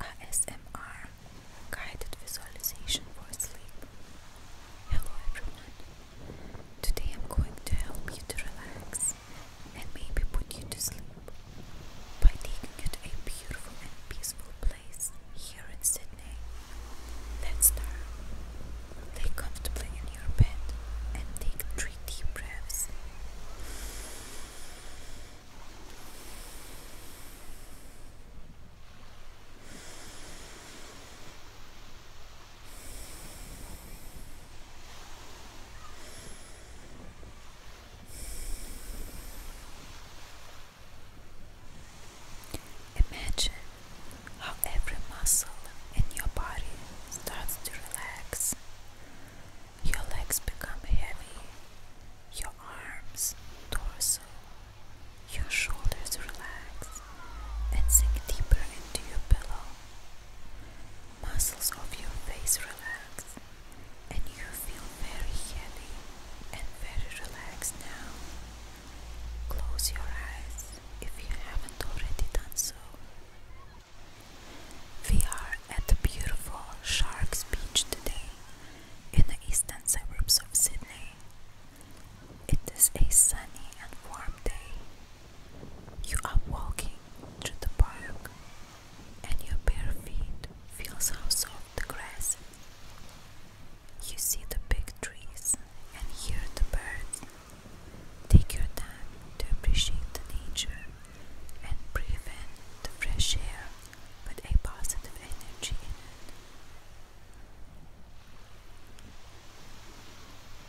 ASMR Guided Visualization for Sleep. Hello everyone. Today I'm going to help you to relax and maybe put you to sleep by taking you to a beautiful and peaceful place here in Sydney. Let's start. Lay comfortably in your bed and take three deep breaths. Imagine how every muscle in your body starts to relax your legs become heavy, your arms, torso, your shoulders relax and sink deeper into your pillow. Muscles of your face relax and you feel very heavy and very relaxed now. Close your eyes if you haven't already done so. We are at the beautiful Sharks Beach today in the eastern suburbs of Sydney. It is a sunny and warm day. You are walking through the park and your bare feet feels how soft the grass. You see the big trees and hear the birds Take your time to appreciate the nature and breathe in the fresh air with a positive energy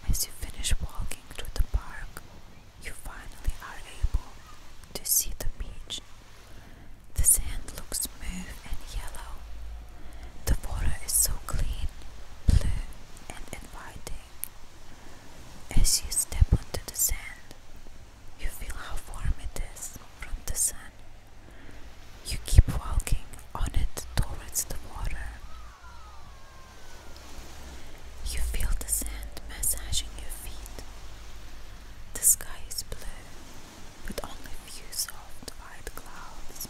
As you finish walking through the park, you finally are able to see the beach. The sand looks smooth and yellow. The water is so clean, blue, and inviting. As you step onto the sand, you feel how warm it is from the sun. You keep walking on it towards the water. You feel the sand massaging your feet. The sky is blue, with only a few soft white clouds.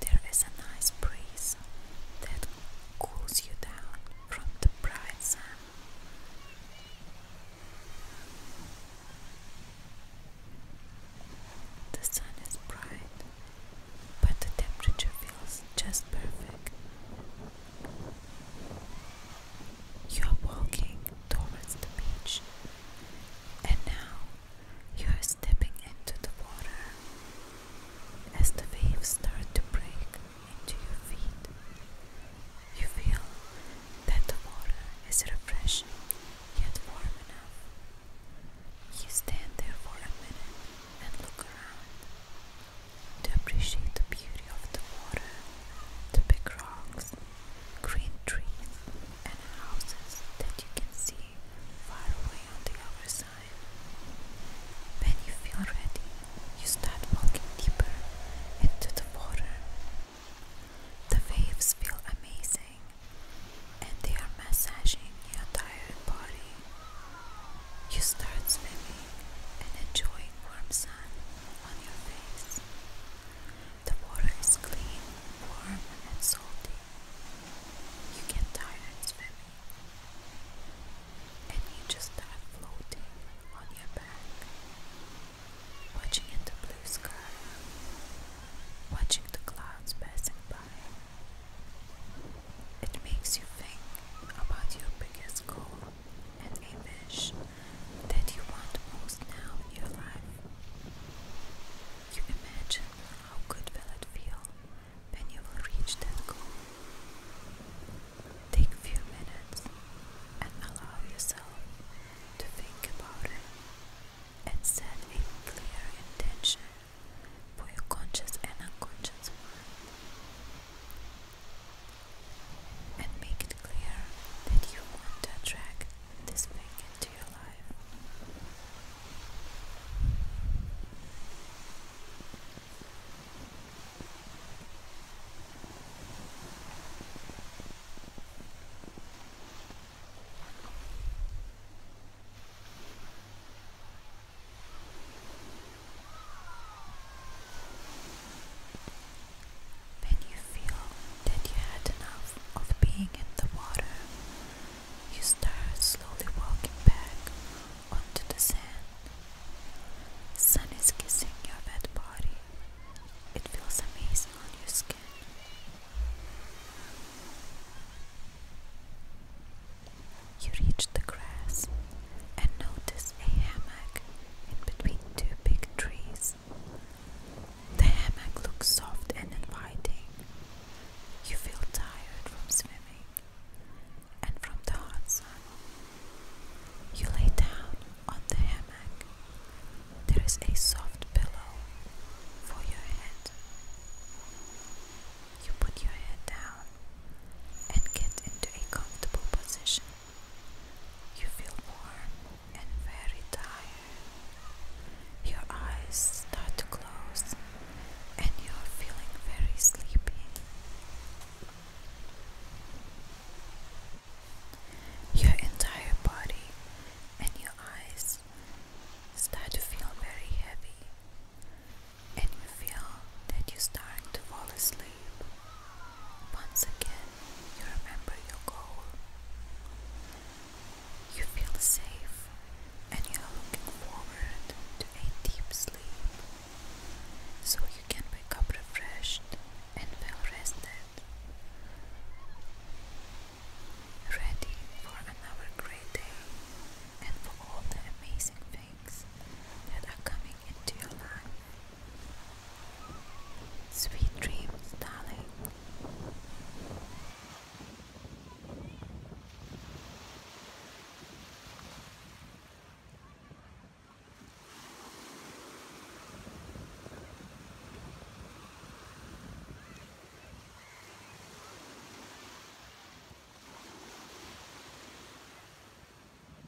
There is a nice breeze that cools you down from the bright sun. The sun is bright, but the temperature feels just perfect. You are walking towards the beach, and now you are stepping into the water. As the waves start to break into your feet, you feel that the water is refreshing yet warm enough. You stand there for a minute and look around to appreciate the beauty of the water, the big rocks, green trees, and houses that you can see far away on the other side. When you feel ready, you start walking deeper into the water. The waves feel amazing and they are massaging your entire body. You start swimming and enjoying warm sun on your face. The water is clean, warm, and salty, you get tired of swimming, and you just start floating on your back, watching at the blue sky, watching the clouds passing by. It makes you think about your biggest goal and a that you want most now in your life. You imagine how good will it feel when you will reach that goal. Take few minutes and allow yourself to think about it and set a clear intention for your conscious and unconscious mind. And make it clear that you want to attract this thing into your life. When you feel that you had enough of being in the water, you start slowly walking back onto the sand. Sun is kissing your wet body. It feels amazing on your skin. You reach the grass and notice a hammock in between two big trees. The hammock looks soft and inviting. You feel tired from swimming and from the hot sun. You lay down on the hammock. There is a soft pillow for your head. You put your head down and get into a comfortable position. You feel warm and very tired. Your eyes start to close and you're feeling very sleepy. Your entire body and your eyes start to feel very heavy, and you feel that you start to fall asleep. Once again, you remember your goal. You feel safe and you are looking forward to a deep sleep so you can wake up refreshed and well rested, ready for another great day and for all the amazing things that are coming into your life. Sweet dreams, darling.